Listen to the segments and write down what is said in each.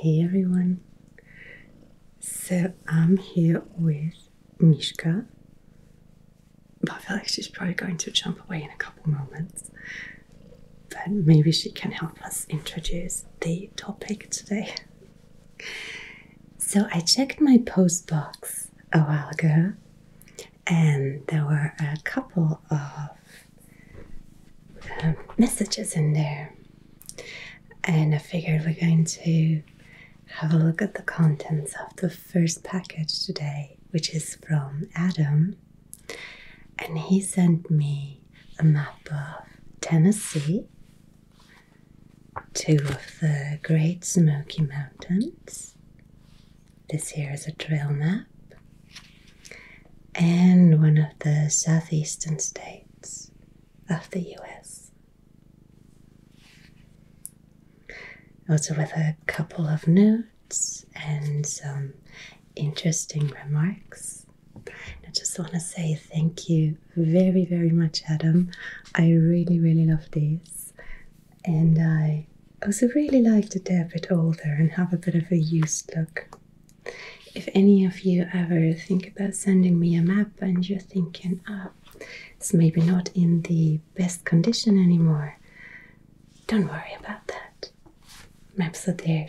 Hey everyone! So I'm here with Mishka, I feel like she's probably going to jump away in a couple moments. But maybe she can help us introduce the topic today. So I checked my post box a while ago, and there were a couple of um, messages in there. And I figured we're going to have a look at the contents of the first package today, which is from Adam. And he sent me a map of Tennessee, two of the Great Smoky Mountains. This here is a trail map and one of the southeastern states of the US. Also, with a couple of notes and some interesting remarks. I just want to say thank you very, very much, Adam. I really, really love these. And I also really like to dip it older and have a bit of a used look if any of you ever think about sending me a map and you're thinking, ah, it's maybe not in the best condition anymore, don't worry about that. Maps are there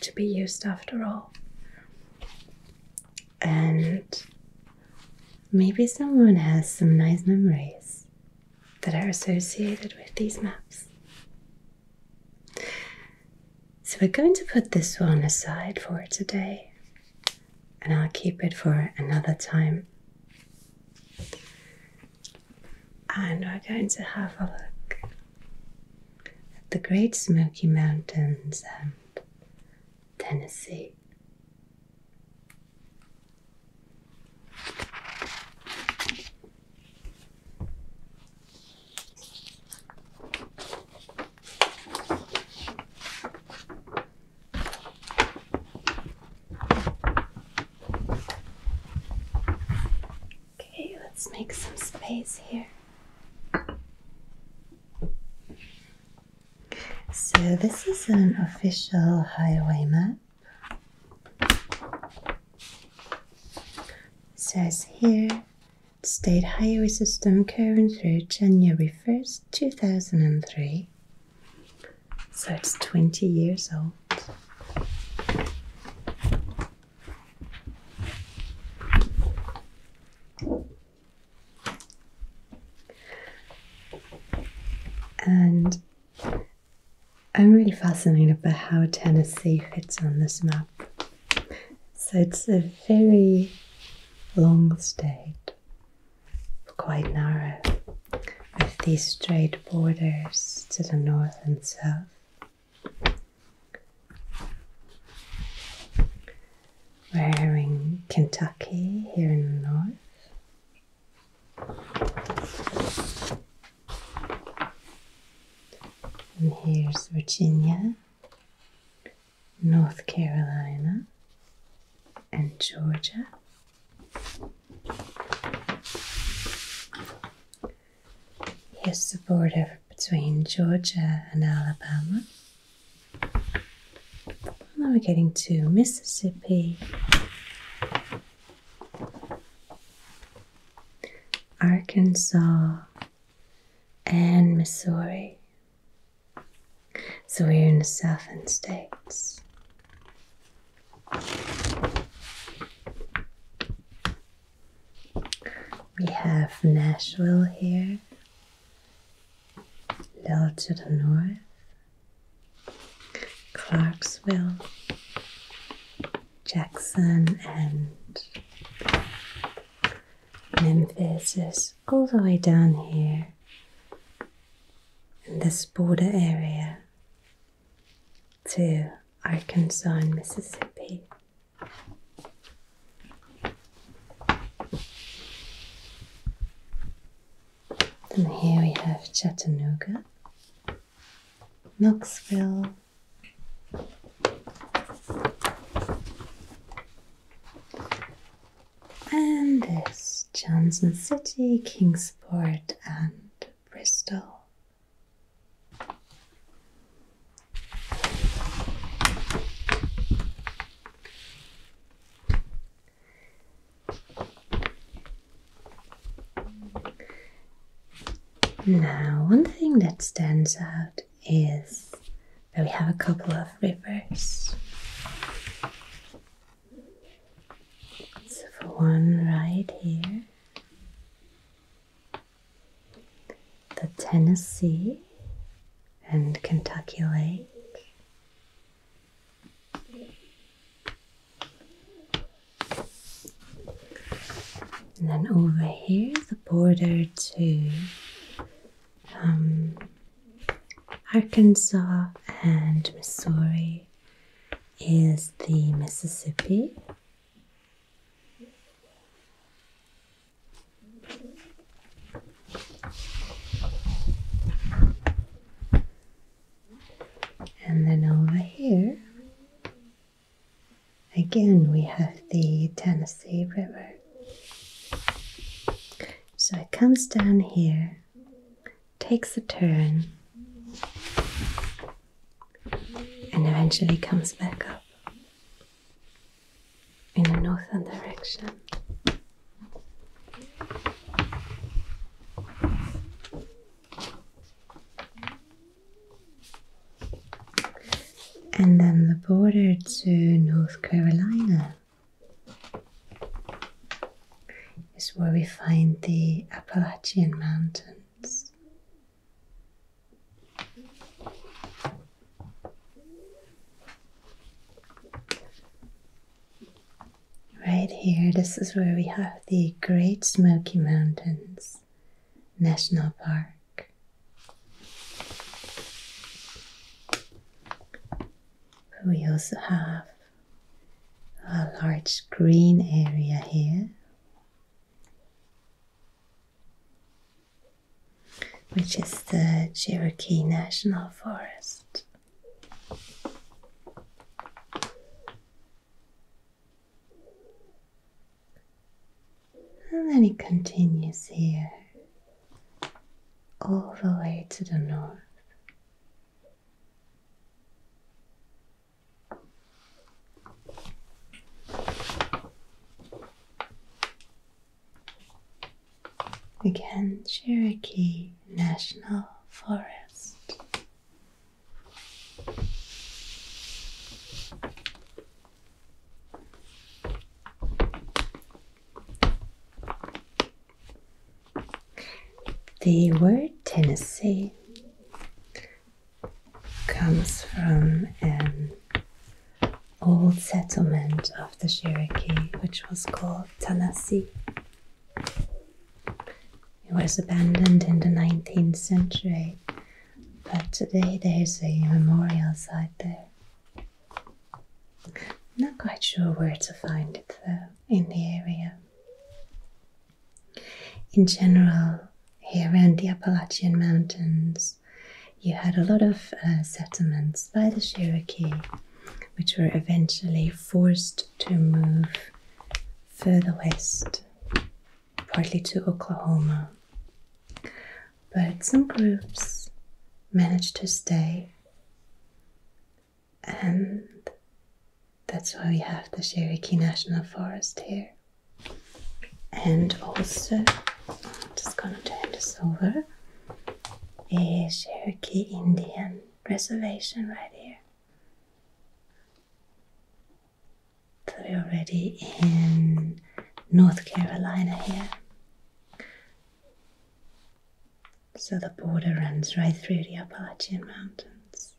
to be used after all. And maybe someone has some nice memories that are associated with these maps. So we're going to put this one aside for today and I'll keep it for another time. And we're going to have a look at the Great Smoky Mountains and Tennessee. Okay, let's make some space here. So, this is an official highway map says here state highway system current through January 1st, 2003. So it's 20 years old. And I'm really fascinated by how Tennessee fits on this map. So it's a very long state, quite narrow, with these straight borders to the north and south. We're in Kentucky here in the north. And here's Virginia, North Carolina, and Georgia. Here's the border between Georgia and Alabama. Now we're getting to Mississippi. Arkansas, and Missouri. So we're in the southern states. We have Nashville here, a little to the north, Clarksville, Jackson and Memphis is all the way down here in this border area to Arkansas and Mississippi. And here we have Chattanooga, Knoxville, and there's Johnson City, Kingsport, and Bristol. Now, one thing that stands out is that we have a couple of rivers. So, for one right here, the Tennessee and Kentucky Lake. And then over here, the border to um, Arkansas and Missouri is the Mississippi. And then over here Again, we have the Tennessee River. So it comes down here, takes a turn, and eventually comes back up in a northern direction and then the border to North Carolina is where we find the Appalachian Mountains. Right here, this is where we have the Great Smoky Mountains. National Park. We also have a large green area here, which is the Cherokee National Forest. And then it continues here all the way to the north. Again, Cherokee National Forest. The word Tennessee comes from an old settlement of the Cherokee, which was called Tennessee. It was abandoned in the 19th century but today there's a memorial site there. Not quite sure where to find it though, in the area. In general, here around the Appalachian Mountains, you had a lot of uh, settlements by the Cherokee, which were eventually forced to move further west partly to Oklahoma. But some groups managed to stay, and that's why we have the Cherokee National Forest here. And also, I'm just gonna turn this over, a Cherokee Indian reservation right here. So we're already in North Carolina here. So the border runs right through the Appalachian Mountains.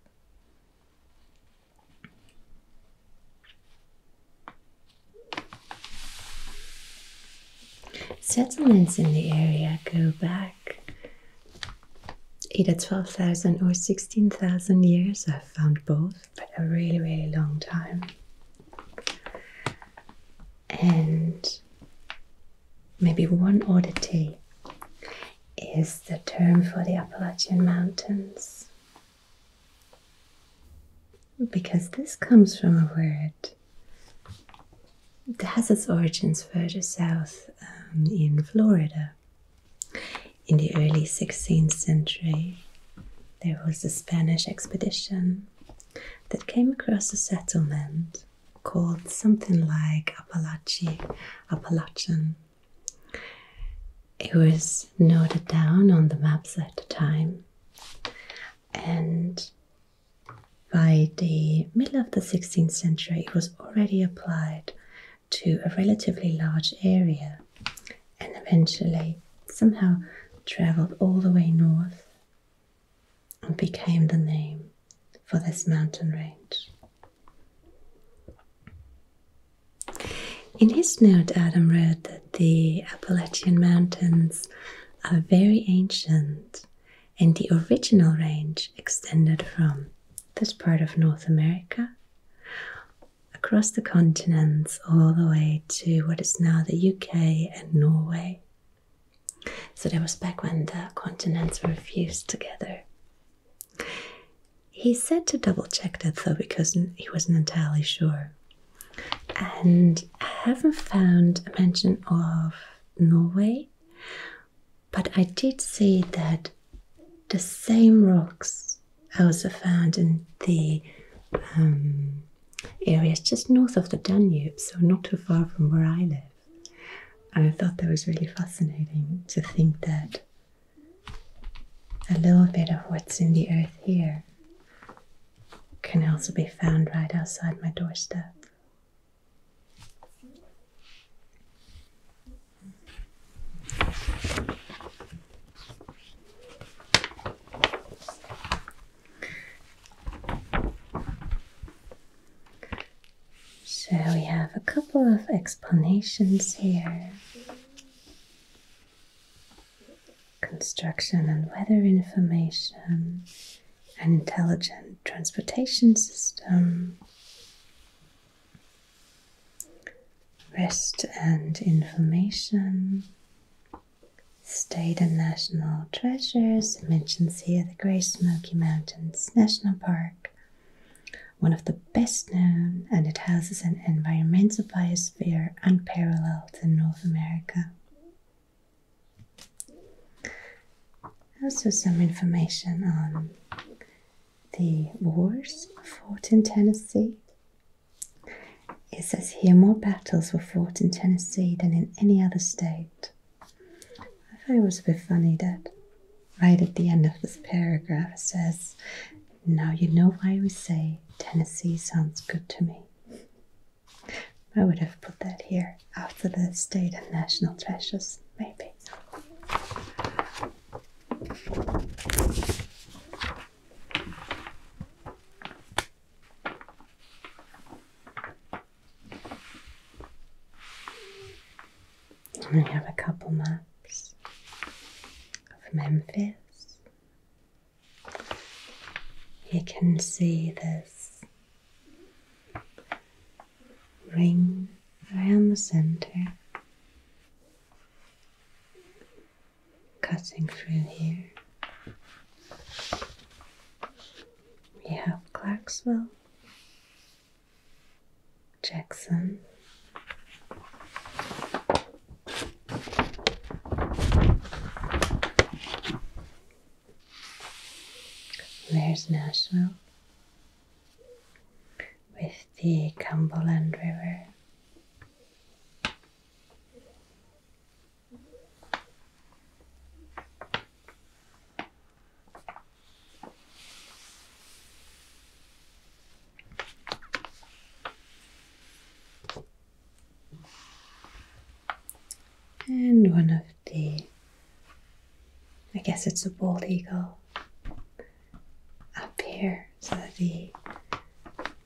Settlements in the area go back either 12,000 or 16,000 years found both, but a really, really long time. And maybe one oddity is the term for the Appalachian Mountains. Because this comes from a word that has its origins further south um, in Florida. In the early 16th century, there was a Spanish expedition that came across a settlement called something like Apalache, Appalachian. It was noted down on the maps at the time, and by the middle of the 16th century, it was already applied to a relatively large area and eventually somehow travelled all the way north and became the name for this mountain range. In his note, Adam wrote that the Appalachian Mountains are very ancient and the original range extended from this part of North America across the continents all the way to what is now the UK and Norway. So that was back when the continents were fused together. He said to double check that though, because he wasn't entirely sure. And I haven't found a mention of Norway, but I did see that the same rocks I was found in the um, areas just north of the Danube, so not too far from where I live. And I thought that was really fascinating to think that a little bit of what's in the earth here can also be found right outside my doorstep. So we have a couple of explanations here. Construction and weather information, an intelligent transportation system, Rest and Information, State and National Treasures, it here the Grey Smoky Mountains National Park, one of the best known, and it houses an environmental biosphere unparalleled in North America. Also, some information on the wars fought in Tennessee. It says here more battles were fought in Tennessee than in any other state. I thought it was a bit funny that right at the end of this paragraph it says, Now you know why we say Tennessee sounds good to me. I would have put that here after the state and national treasures, maybe. And I have a couple maps of Memphis. You can see this ring around the center cutting through here. We have Clarksville, Jackson. There's Nashville, with the Cumberland River. And one of the, I guess it's a bald eagle, up here. So the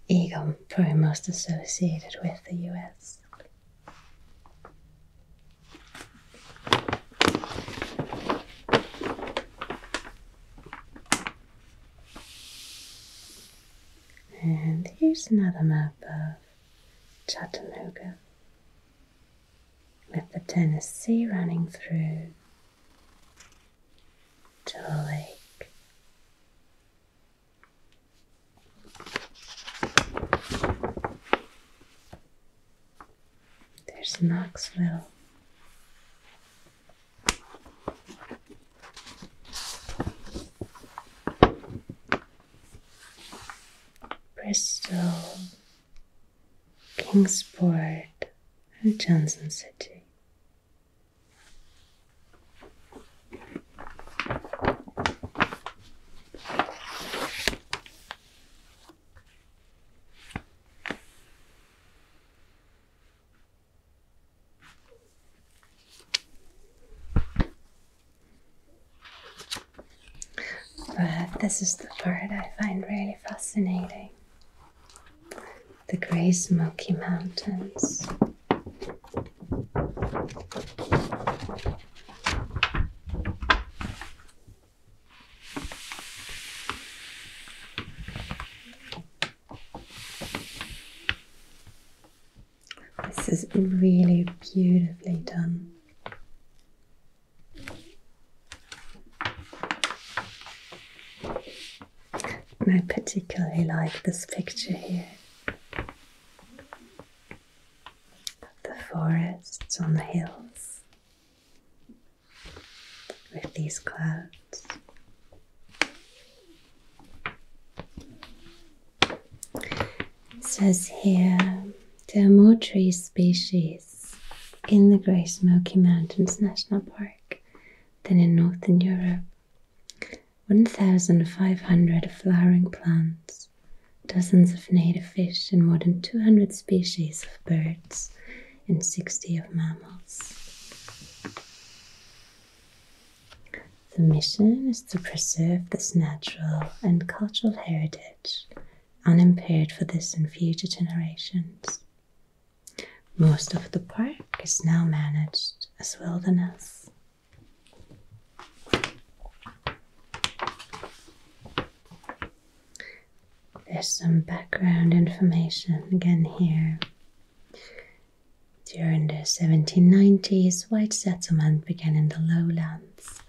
eagle probably most associated with the US. And here's another map of Chattanooga with the Tennessee running through to lake. There's Knoxville. Bristol Kingsport, and Johnson City. But this is the part I find really fascinating the grey Smoky Mountains. This is really beautifully done. I particularly like this picture here of the forests on the hills with these clouds. It says here there are more tree species in the Grey Smoky Mountains National Park than in Northern Europe. 1,500 flowering plants, dozens of native fish, and more than 200 species of birds, and 60 of mammals. The mission is to preserve this natural and cultural heritage unimpaired for this and future generations. Most of the park is now managed as wilderness. There's some background information again here. During the 1790s, white settlement began in the lowlands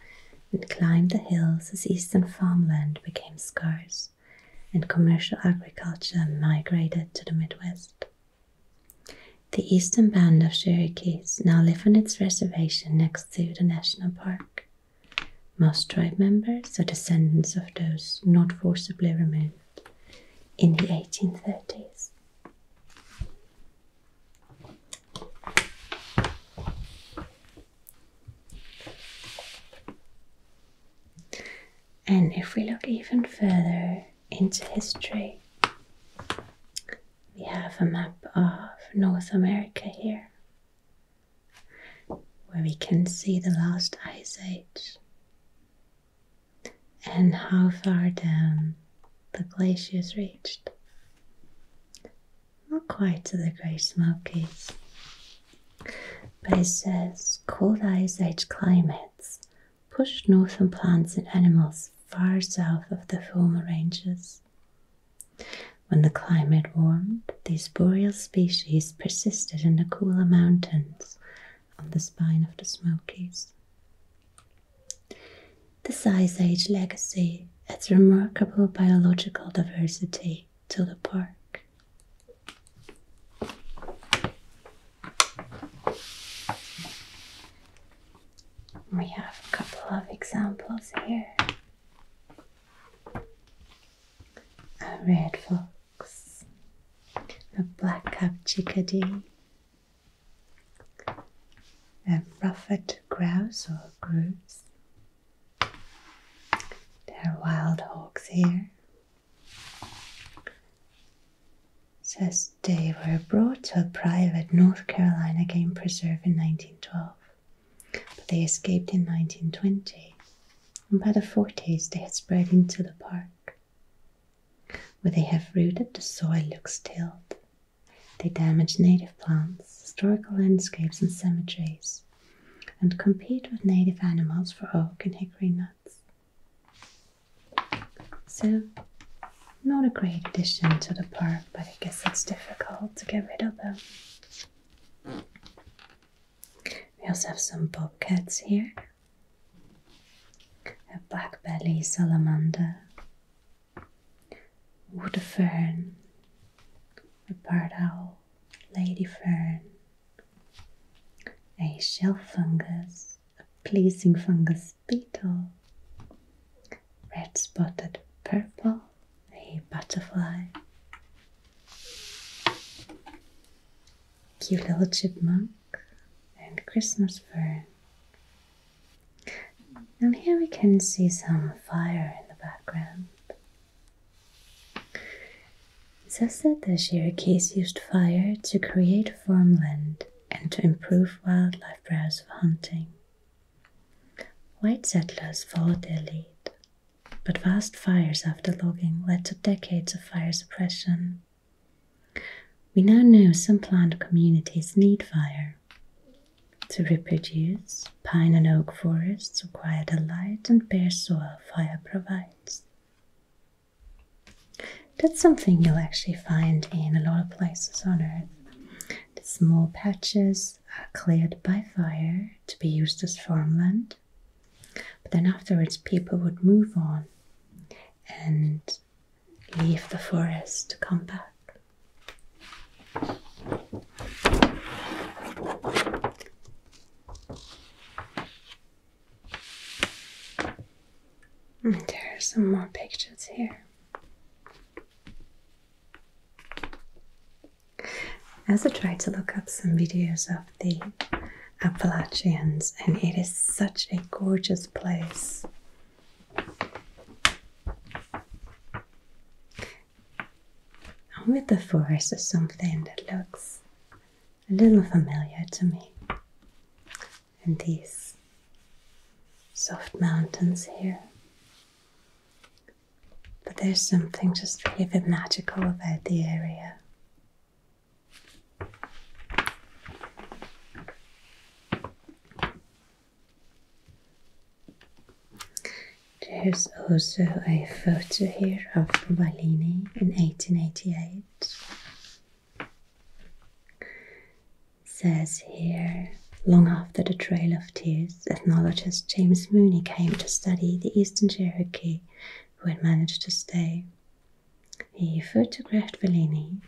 and climbed the hills as eastern farmland became scarce and commercial agriculture migrated to the Midwest. The eastern band of Cherokees now live on its reservation next to the national park. Most tribe members are descendants of those not forcibly removed in the 1830s. And if we look even further into history, we have a map of North America here, where we can see the last ice age and how far down the glaciers reached. Not quite to the Great Smokies, but it says cold ice age climates pushed northern plants and animals far south of the former ranges. When the climate warmed, these boreal species persisted in the cooler mountains on the spine of the Smokies. The Ice Age legacy adds remarkable biological diversity to the park. We have a couple of examples here. A red fox, a black-capped chickadee, a ruffed grouse or grouse, there are wild hawks here. Says they were brought to a private North Carolina game preserve in 1912, but they escaped in 1920, and by the 40s they had spread into the park. Where they have rooted, the soil looks tilled. They damage native plants, historical landscapes, and cemeteries, and compete with native animals for oak and hickory nuts. So, not a great addition to the park, but I guess it's difficult to get rid of them. We also have some bobcats here. A black belly salamander, wood fern, a barred owl, lady fern, a shell fungus, a pleasing fungus beetle, red spotted purple, a butterfly, cute little chipmunk, and Christmas fern. And here we can see some fire in the background. It is said the Cherokees used fire to create farmland and to improve wildlife browse for hunting. White settlers followed their lead, but vast fires after logging led to decades of fire suppression. We now know some plant communities need fire to reproduce, pine and oak forests require the light and bare soil fire provides. That's something you'll actually find in a lot of places on Earth. The small patches are cleared by fire to be used as farmland, but then afterwards people would move on and leave the forest to come back. Mm, there are some more pictures here. As I also tried to look up some videos of the Appalachians, and it is such a gorgeous place. I'm with the forest or something that looks a little familiar to me. And these soft mountains here. But there's something just really a bit magical about the area. There's also a photo here of Bellini in 1888. Says here, long after the Trail of Tears, ethnologist James Mooney came to study the Eastern Cherokee who had managed to stay. He photographed Bellini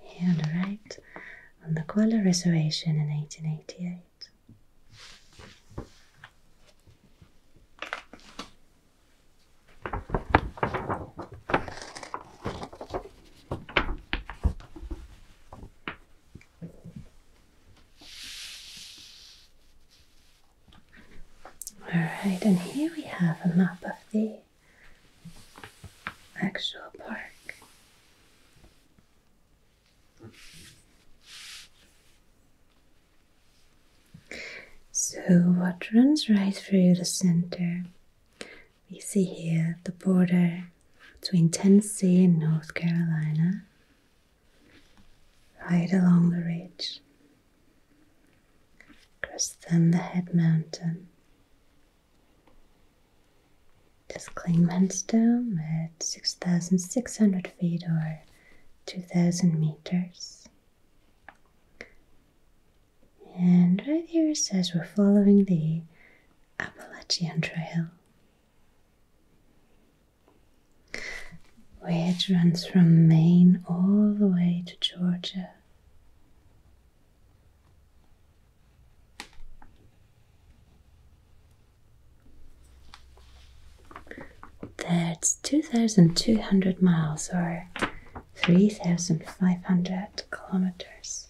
here on the right on the Koala Reservation in 1888. Alright, and here we have a map of the actual park. So, what runs right through the center? We see here the border between Tennessee and North Carolina, right along the ridge, the head Mountain. This Klingman Dome at 6,600 feet or 2000 meters. And right here it says we're following the Appalachian Trail, which runs from Maine all the way to Georgia. That's 2,200 miles or 3,500 kilometers.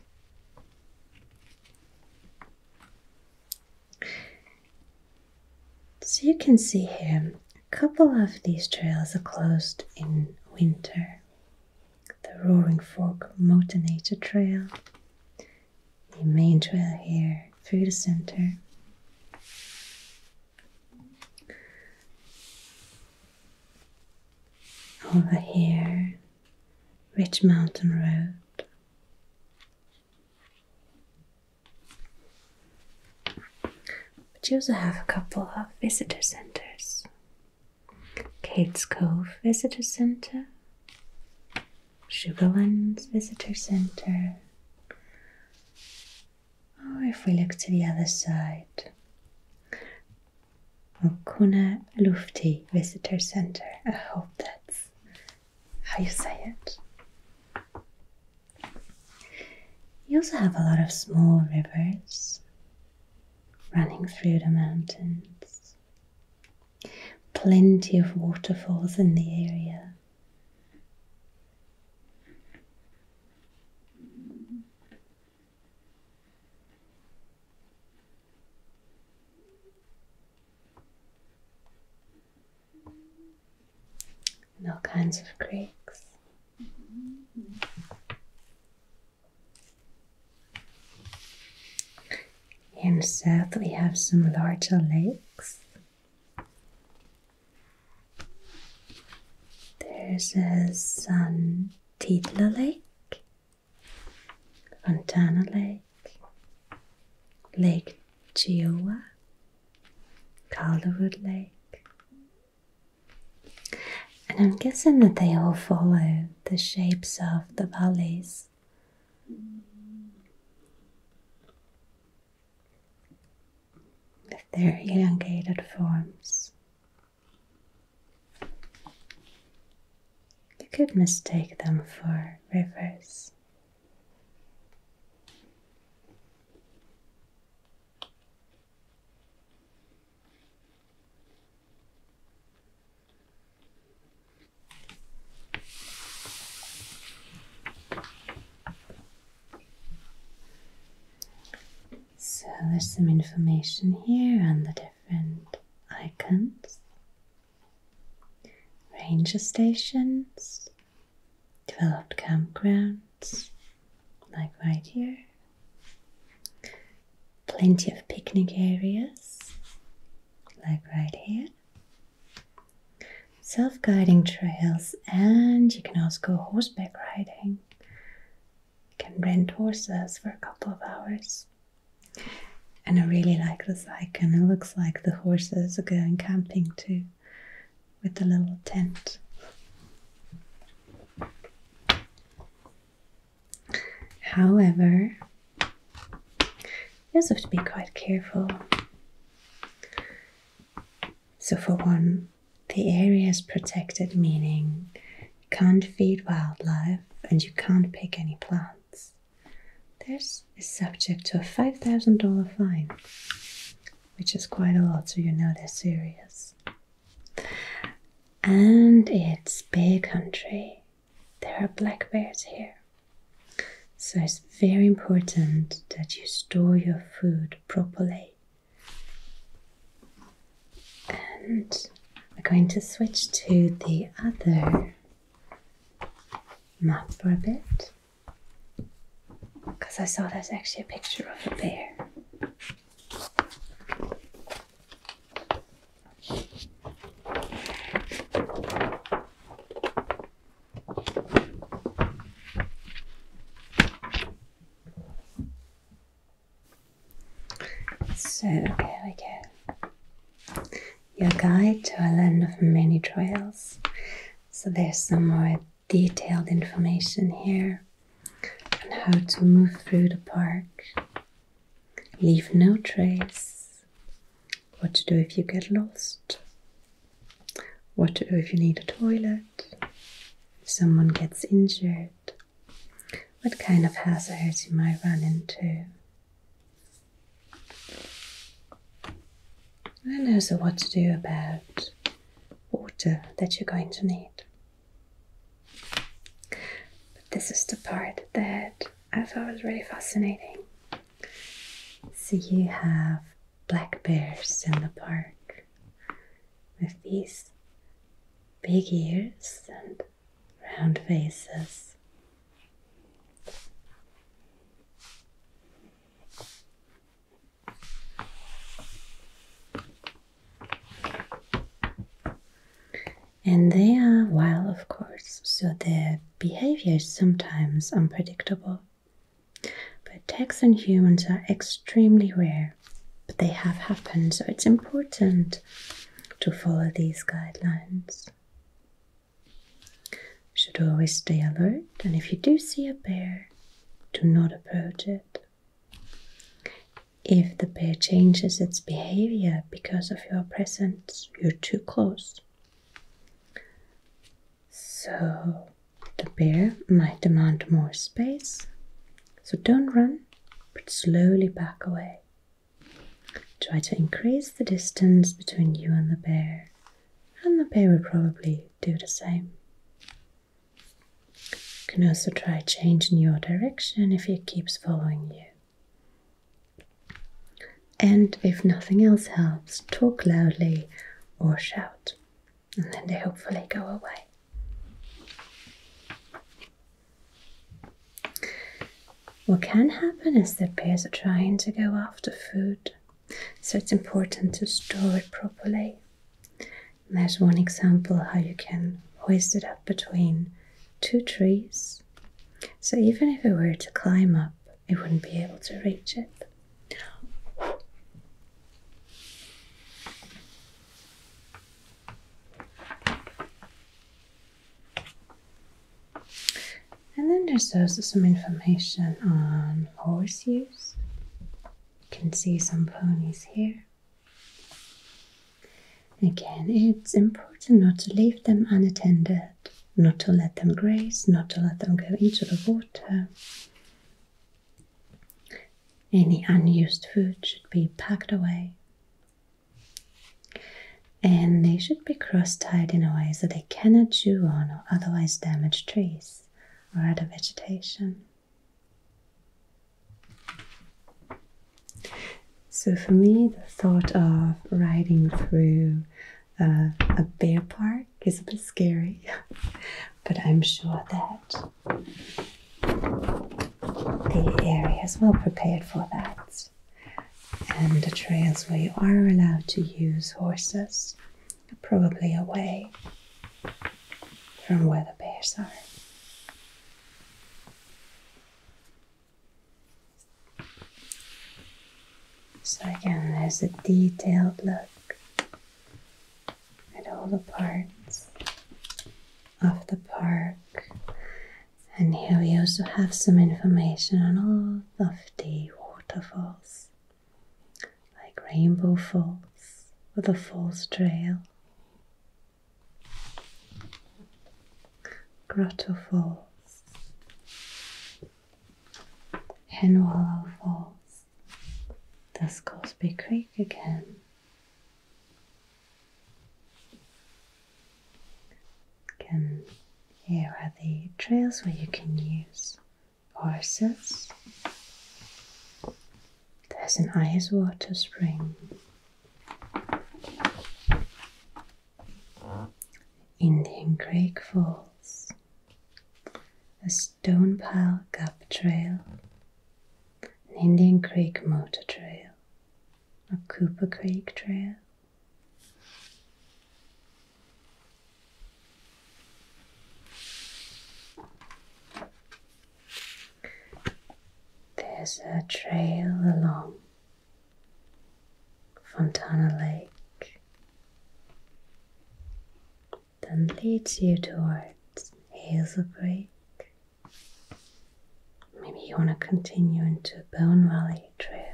So you can see here, a couple of these trails are closed in winter. The Roaring Fork Motonator Trail the main trail here through the center. Over here, Ridge Mountain Road. But you also have a couple of visitor centers. Kate's Cove Visitor Center Sugarlands Visitor Center. Or if we look to the other side, Okuna Lufti Visitor Center. I hope that's how you say it. You also have a lot of small rivers running through the mountains. Plenty of waterfalls in the area and all kinds of creeks. And south we have some larger lakes. There's a San Titla Lake, Fontana Lake, Lake Chiowa, Calderwood Lake. And I'm guessing that they all follow the shapes of the valleys with their elongated forms. You could mistake them for rivers. So there's some information here on the different icons, ranger stations, developed campgrounds, like right here, plenty of picnic areas, like right here. Self guiding trails, and you can also go horseback riding. You can rent horses for a couple of hours. And I really like this icon, it looks like the horses are going camping too with a little tent. However, you also have to be quite careful. So, for one, the area is protected, meaning you can't feed wildlife and you can't pick any plants. This is subject to a $5,000 fine, which is quite a lot, so you know they're serious. And it's bear country, there are black bears here. So it's very important that you store your food properly. And we're going to switch to the other map for a bit. Because I saw there's actually a picture of a bear. So here we go. Your guide to a land of many trails. So there's some more detailed information here on how to move through the park. Leave no trace what to do if you get lost, what to do if you need a toilet, if someone gets injured, what kind of hazards you might run into. And also what to do about water that you're going to need. But this is the part that I found really fascinating. So you have black bears in the park with these big ears and round faces. And they are wild, of course, so the behavior is sometimes unpredictable. But attacks on humans are extremely rare, but they have happened, so it's important to follow these guidelines. You should always stay alert, and if you do see a bear, do not approach it. If the bear changes its behavior because of your presence, you're too close. So the bear might demand more space, so don't run, but slowly back away. Try to increase the distance between you and the bear, and the bear will probably do the same. You can also try changing your direction if it keeps following you. And if nothing else helps, talk loudly or shout, and then they hopefully go away. What can happen is that bears are trying to go after food, so it's important to store it properly. And there's one example how you can hoist it up between two trees so even if it were to climb up, it wouldn't be able to reach it. And then there's also some information on horse use. You can see some ponies here. Again, it's important not to leave them unattended not to let them graze, not to let them go into the water. Any unused food should be packed away. And they should be cross tied in a way so they cannot chew on or otherwise damage trees or other vegetation. So, for me, the thought of riding through uh, a bear park is a bit scary, but I'm sure that the area is well prepared for that. And the trails where you are allowed to use horses are probably away from where the bears are. So again, there's a detailed look at all the parts of the park. And here we also have some information on all of the waterfalls, like Rainbow Falls with a Falls Trail, Grotto Falls, Henwallow Falls. there's Cosby Creek again. Again, here are the trails where you can use horses. There's an ice water spring. Indian Creek Falls, a Stone Pile Gap Trail, an Indian Creek Motor Trail, a Cooper Creek Trail. There's a trail along Fontana Lake, then leads you towards Hazel Creek. Maybe you want to continue into Bone Valley Trail.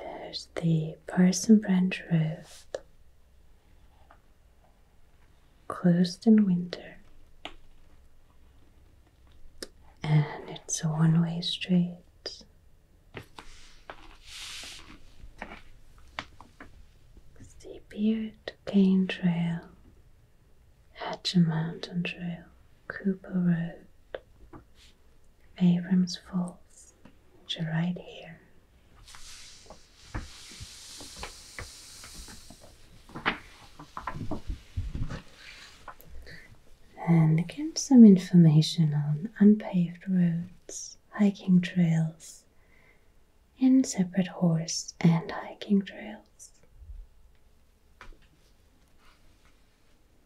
There's the parson branch Road closed in winter, and it's a one way street. The Beard Cane Trail, Hatcher Mountain Trail, Cooper Road. Abrams Falls which are right here. And get some information on unpaved roads, hiking trails, and separate horse and hiking trails.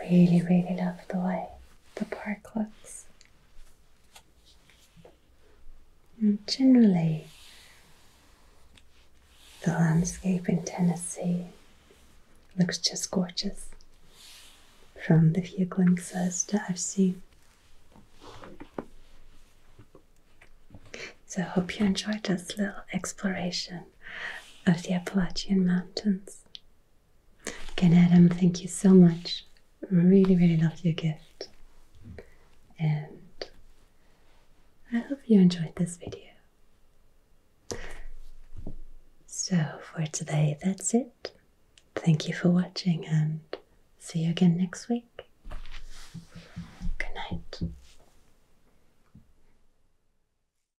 Really, really love the way the park looks. And generally, the landscape in Tennessee looks just gorgeous from the few glimpses that I've seen. So I hope you enjoyed this little exploration of the Appalachian Mountains. Again, Adam, thank you so much. Really, really loved your gift. And I hope you enjoyed this video. So, for today, that's it. Thank you for watching and see you again next week. Good night.